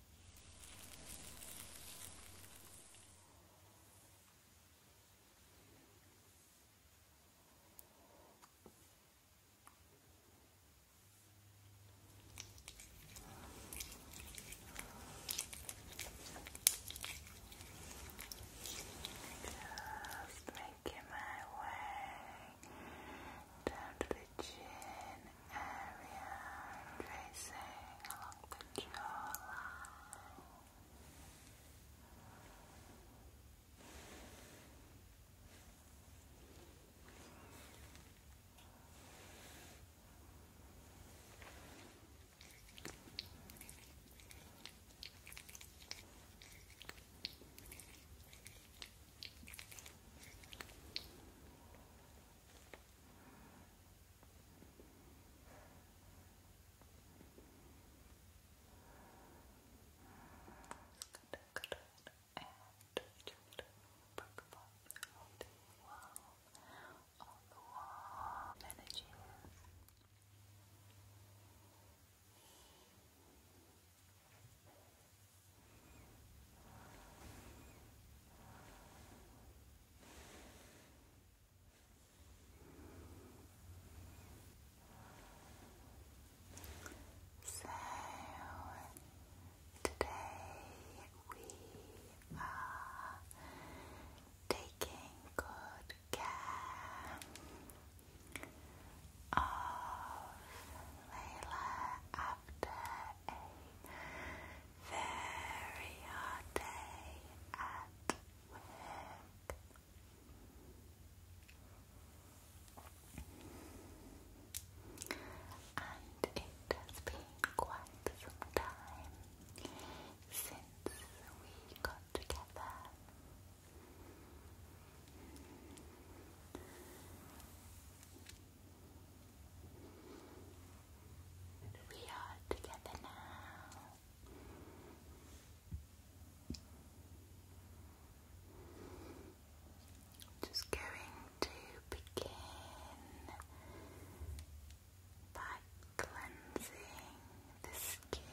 Just making my way down to the chin area, tracing along the jawline. Good, good, And we just broke the wall, on the wall, energy. So today we are taking good care of Layla after a very hard day at work. And it has been quite some time since we got together. We are together now. Just going to begin by cleansing the skin.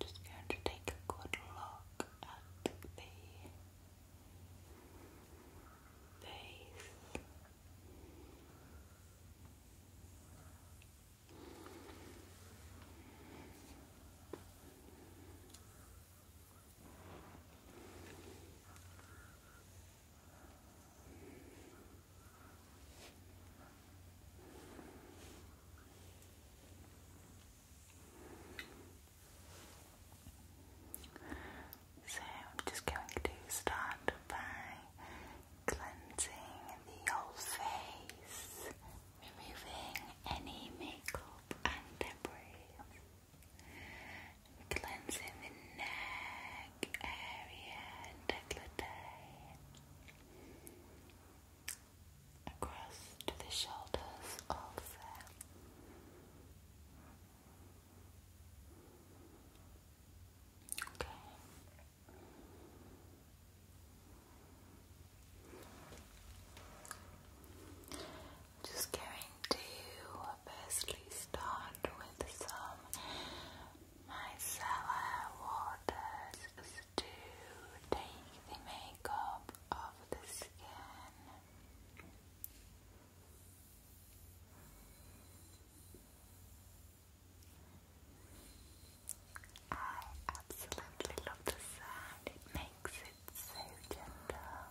Just going to take a good look at the face. So I'm just going to start by cleansing the whole face, removing any makeup and debris, cleansing the neck across to the shoulders also. Okay. Just going to firstly start with some my Micellar waters is take the makeup off the skin. I absolutely love the sound, it makes it so gentle.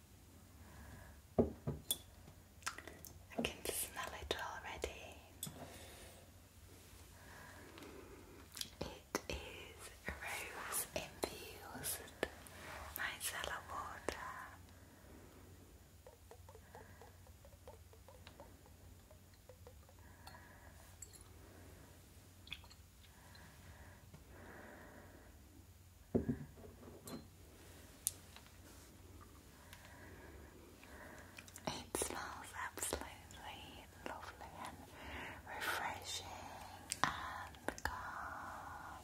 I can smell it already. It is rose infused micellar water. It smells absolutely lovely and refreshing and calm.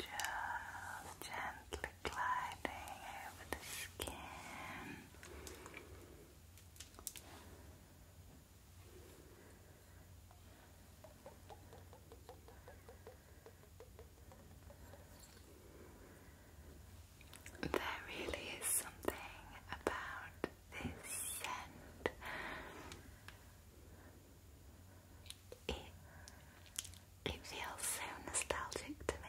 Just gently gliding over the skin. There really is something about this scent. It, it feels so nostalgic to me.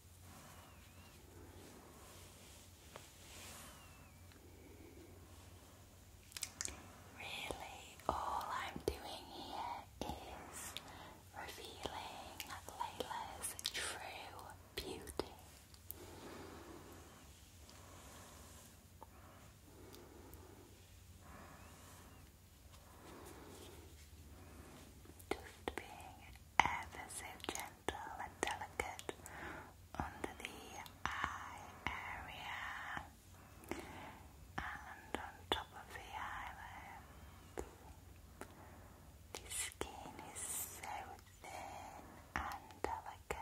Really, all I'm doing here is revealing Layla's true beauty. Just being ever delicate under the eye area and on top of the eyelids. The skin is so thin and delicate.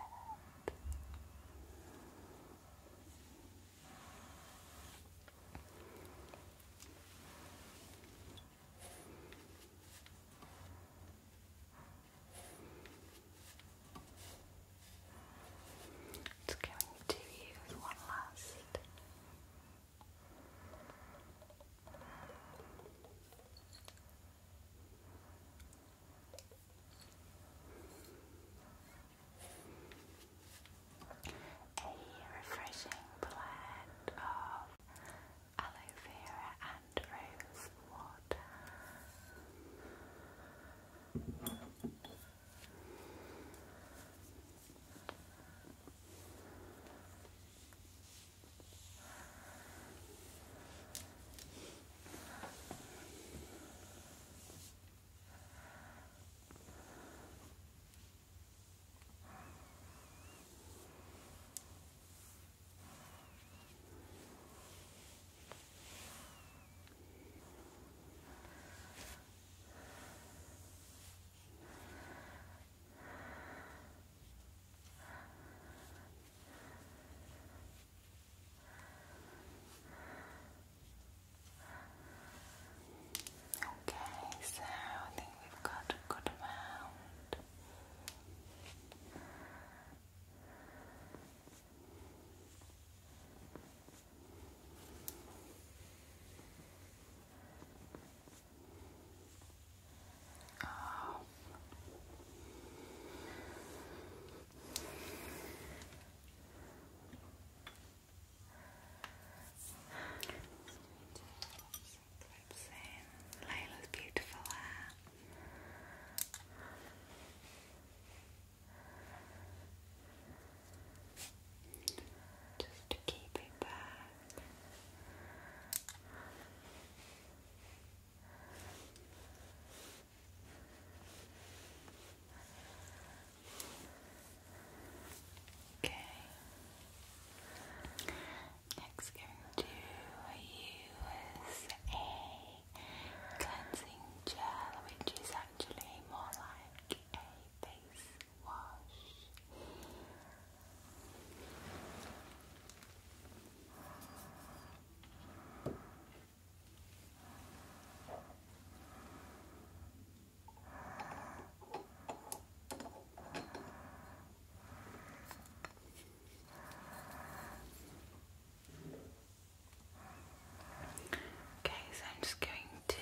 It's going to use one last. A refreshing blend of aloe vera and rose water. Okay, so I think we've got a good amount. Oh. It's clips in beautiful hair. Just to keep it back. Okay. Next, going to use a cleansing gel, which is actually more like a face wash. Okay, so I'm just going to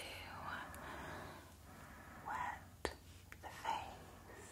wet the face.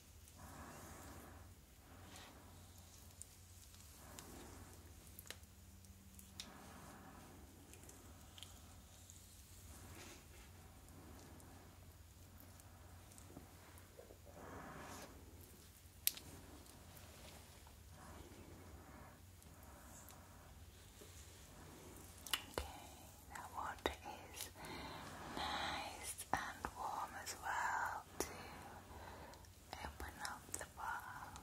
Okay, the water is nice and warm as well to open up the bottle.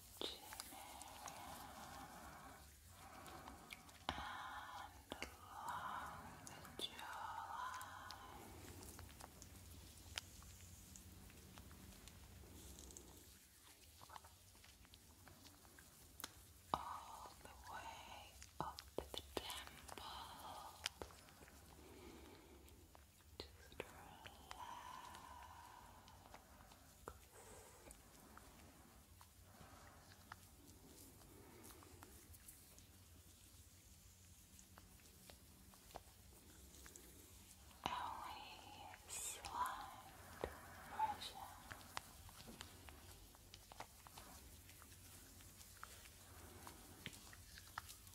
the jawline all the way up to the temple. Just relax. Only slight pressure.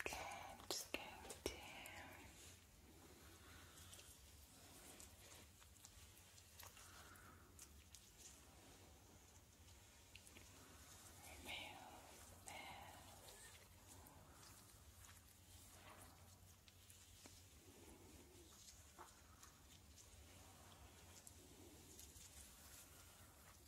Okay, I'm just going to remove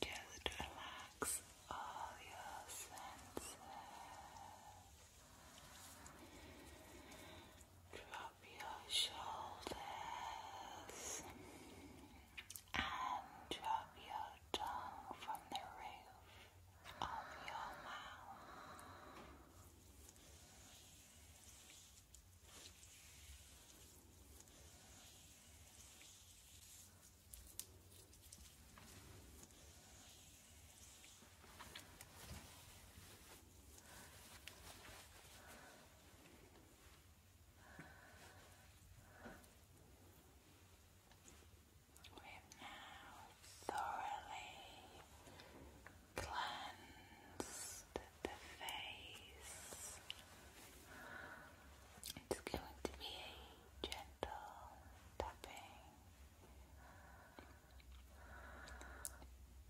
Just relax all your senses. Drop your shoulders and drop your tongue from the roof of your mouth. We've now thoroughly cleansed the face. It's going to be a gentle tapping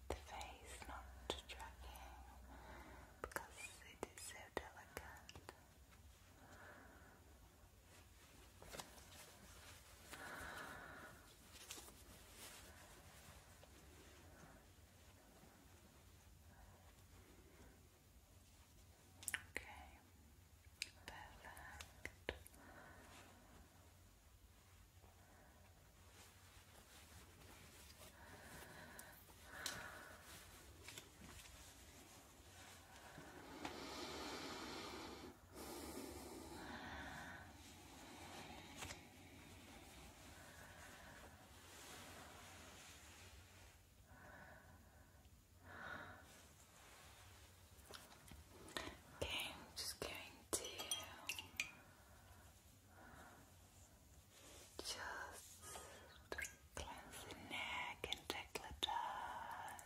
the face not dragging because it is so delicate. Okay, perfect. Okay, I'm just going to just cleanse the neck and decolletage.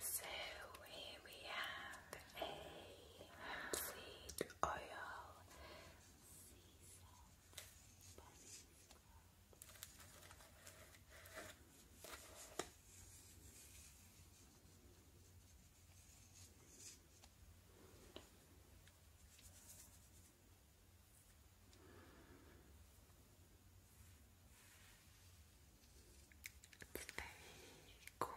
So here we have a seed oil, very cooling.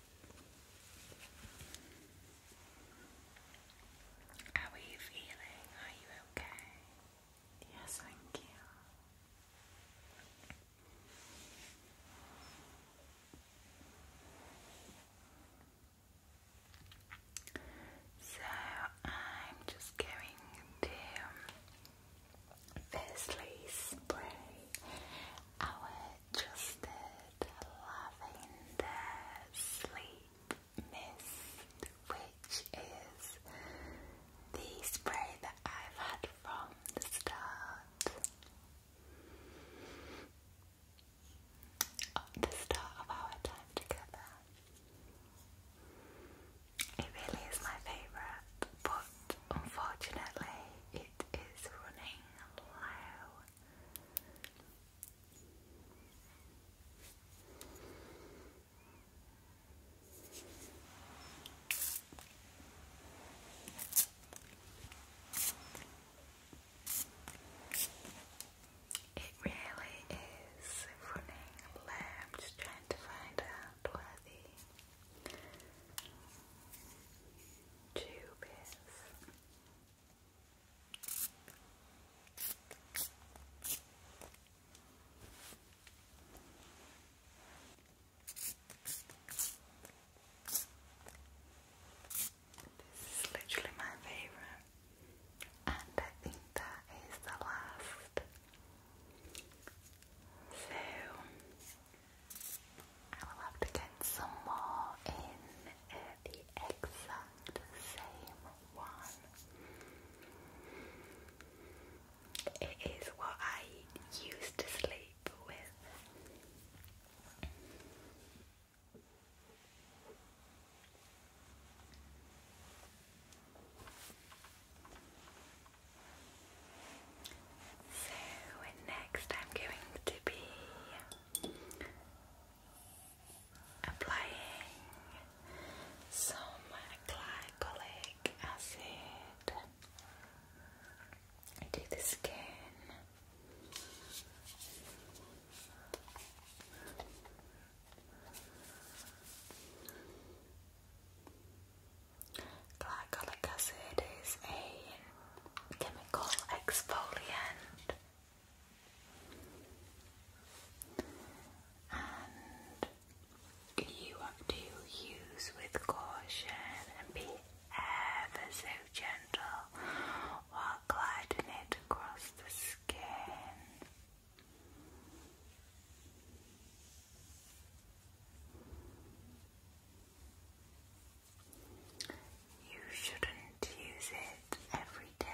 How are you feeling? Are you okay? Yes, thank you. So, I'm just going to firstly spray our trusted lavender sleep mist, which is the spray that I've had from the start. the start of our time together. It really is my favourite, but unfortunately it is running low. It really is running late. I'm just trying to find out where the tube is. This is literally my favorite, and I think that is the last. So I will have to get some more in the exact same one. It is what I used to sleep with. So next I'm going to be applying some glycolic acid to the skin. Glycolic acid is a chemical exfoliant and you have to use with caution and be ever so gentle while gliding it across the skin you shouldn't use it every day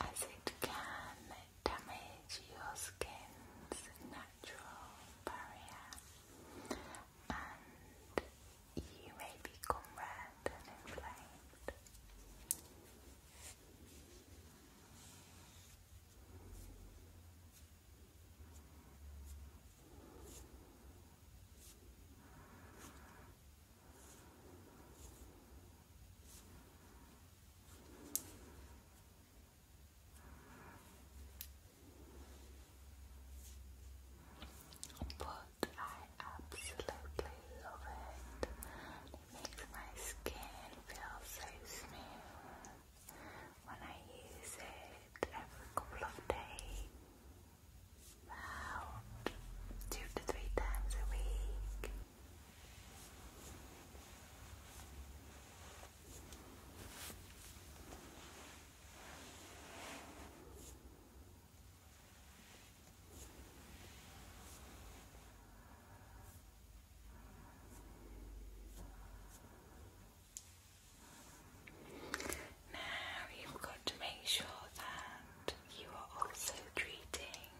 as it can damage your skin's natural barrier and you may become red and inflamed. But I absolutely love it. It makes my skin feel so smooth when I use it every couple of days about two to three times a week. Now you've got to make sure that you are also treating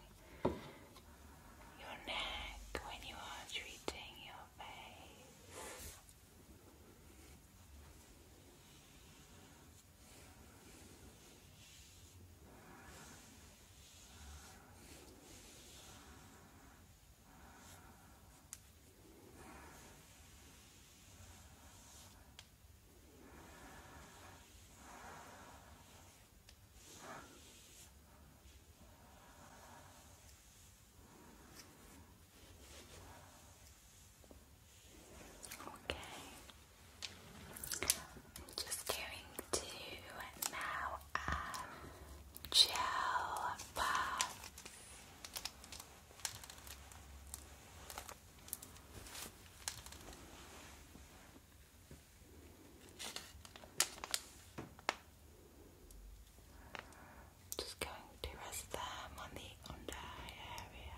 your neck when you are treating your face. Okay, i just going to now gel bath. Just going to rest them on the under eye area.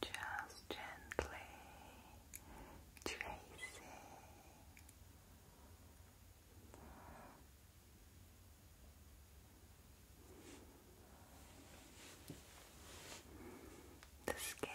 Just gently tracing the skin.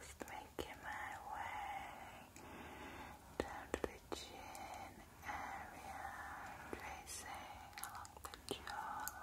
Just making my way down the chin area, tracing along the jawline.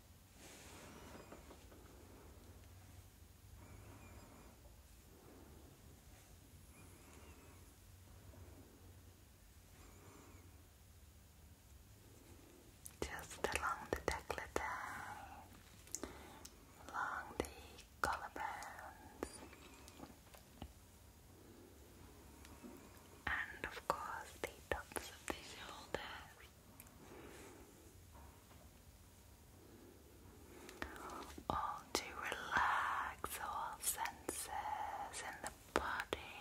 Just along the decollete, along the collarbones, and of course the tops of All to relax all senses in the body.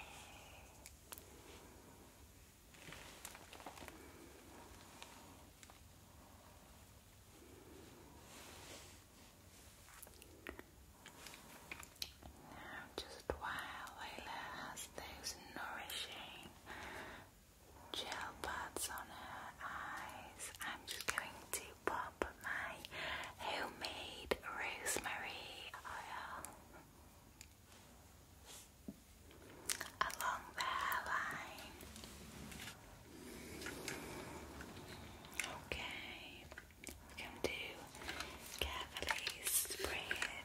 Now, just while Layla has those nourishing gel pads on her eyes, I'm just going to pop my homemade rosemary oil along the hairline. Okay, I'm going to carefully spray it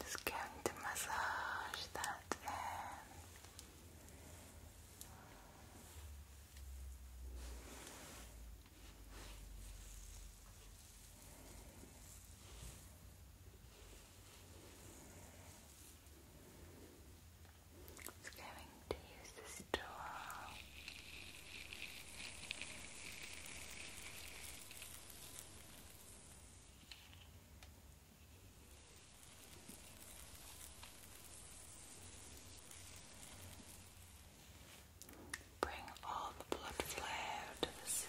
Just going to massage that in. Just going to use this door. Bring all the blood flow to the surface.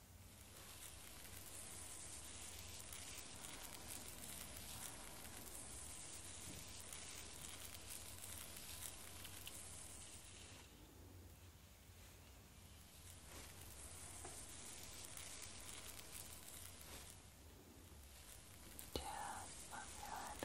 Just on your head, right?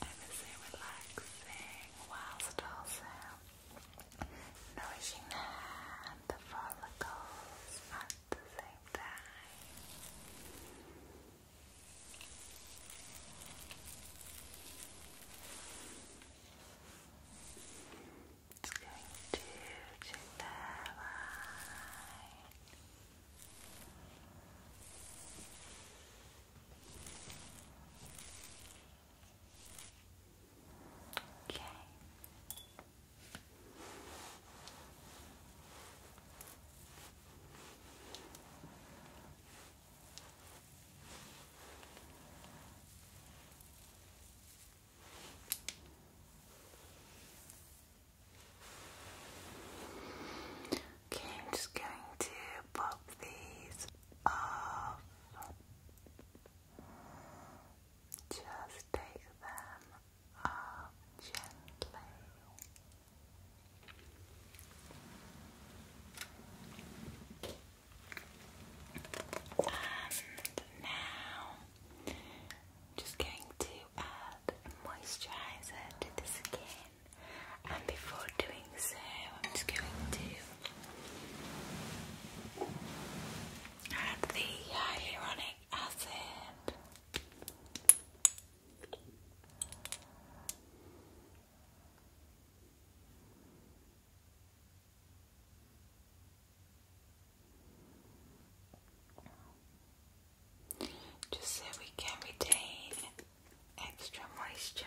I would relaxing whilst also nourishing the follicles at the same time. Just going to check that line. Okay. Okay, I'm just going to pop these off. Just take them off gently. And now just going to add moisturizer to the skin and before doing so I'm just going to add the hyaluronic acid just so we can retain extra moisture.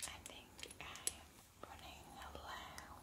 I think I am running a loud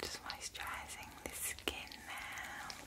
Just moisturizing the skin now.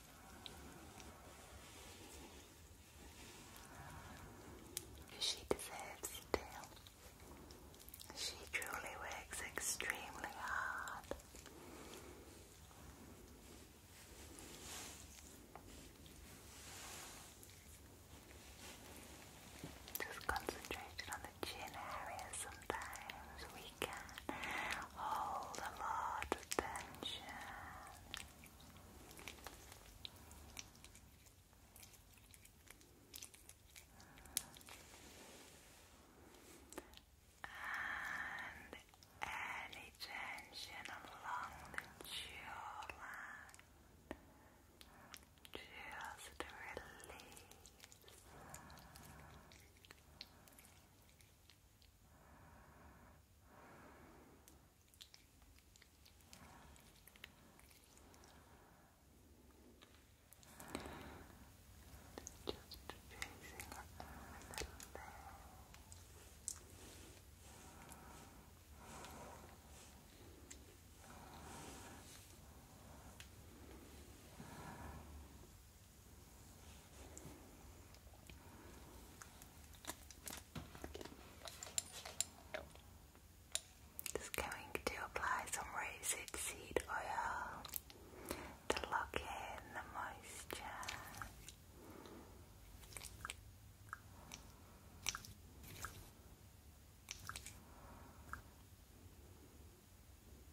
She deserves it too. She truly works extremely hard. Just concentrated on the chin area sometimes we can hold a lot of tension. And any along the jawline, just release. Just tracing it a little bit. Just just going to apply some raised seed oil to lock in the moisture.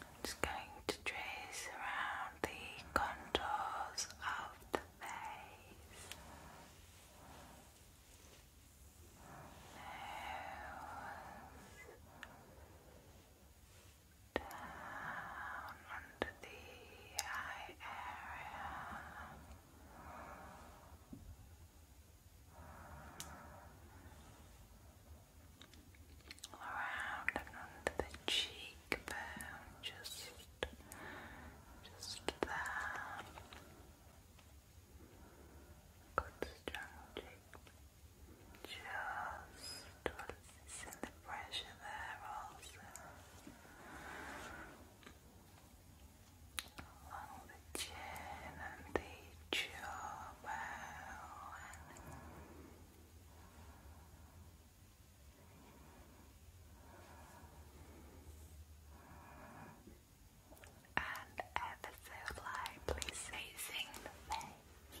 I'm just going to trace around the contours of the face down under the eye area. Around and under the cheekbone, just, just there. Good strong cheekbone. Just Feel the pressure there also along the chin and the jaw And ever so lightly facing the face.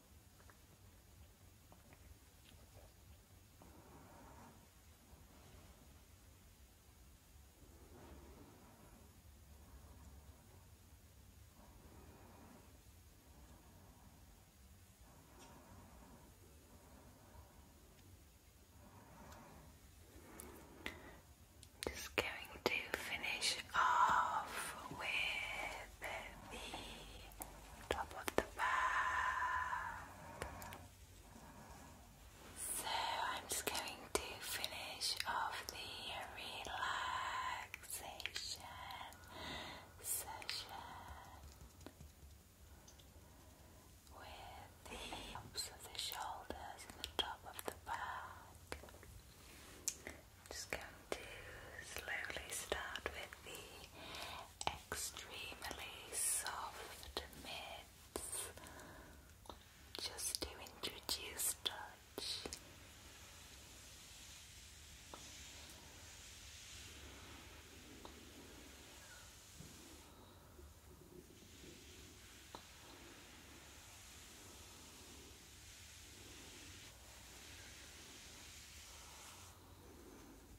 I'm just going to finish off with at the top of the back. So I'm just going to finish off the relaxation session with the tops of the shoulders and the top of the back. Just going to slowly start with the extremely soft mitts just to introduce touch.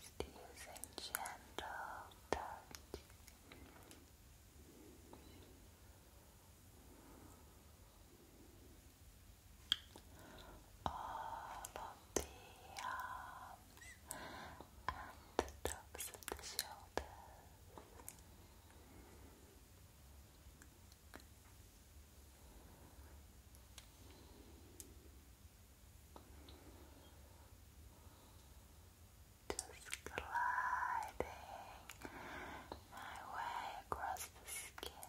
Just using gentle touch all of the arms and the tops Just gliding my way across the skin.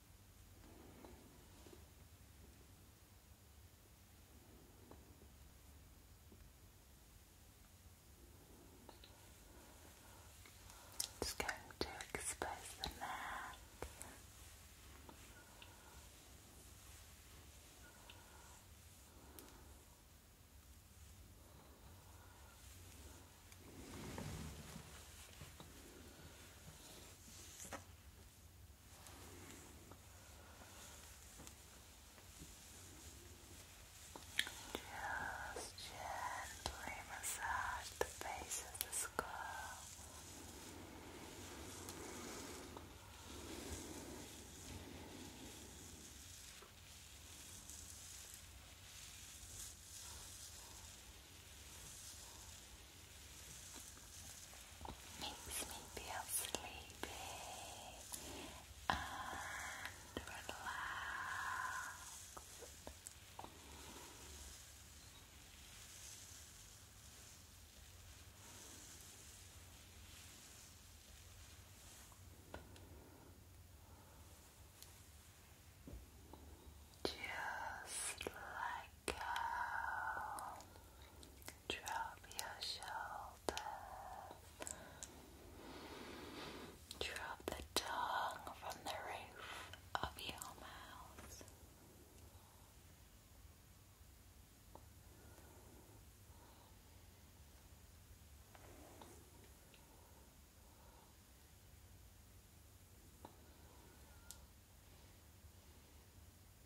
Just going to expose the neck. Just gently massage the base of the skull. Makes me feel sleepy and relaxed. Just like go. Drop your shoulders. Drop the tongue from the roof of your mouth.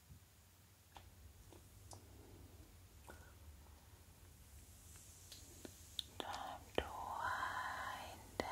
Time to wind down.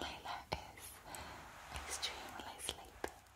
Layla is extremely sleepy.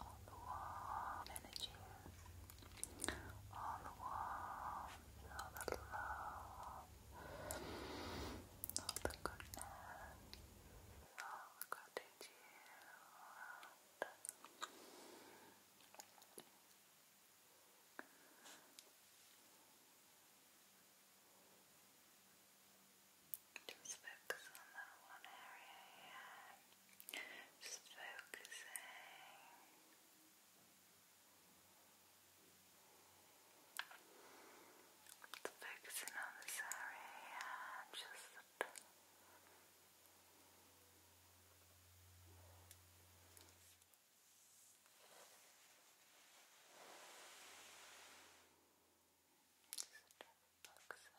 all the warm energy, all the warmth, all the love, all the goodness, all the gratitude. All just focus on that one area here. Just focusing. Just focusing on this area here. Just Just looks like.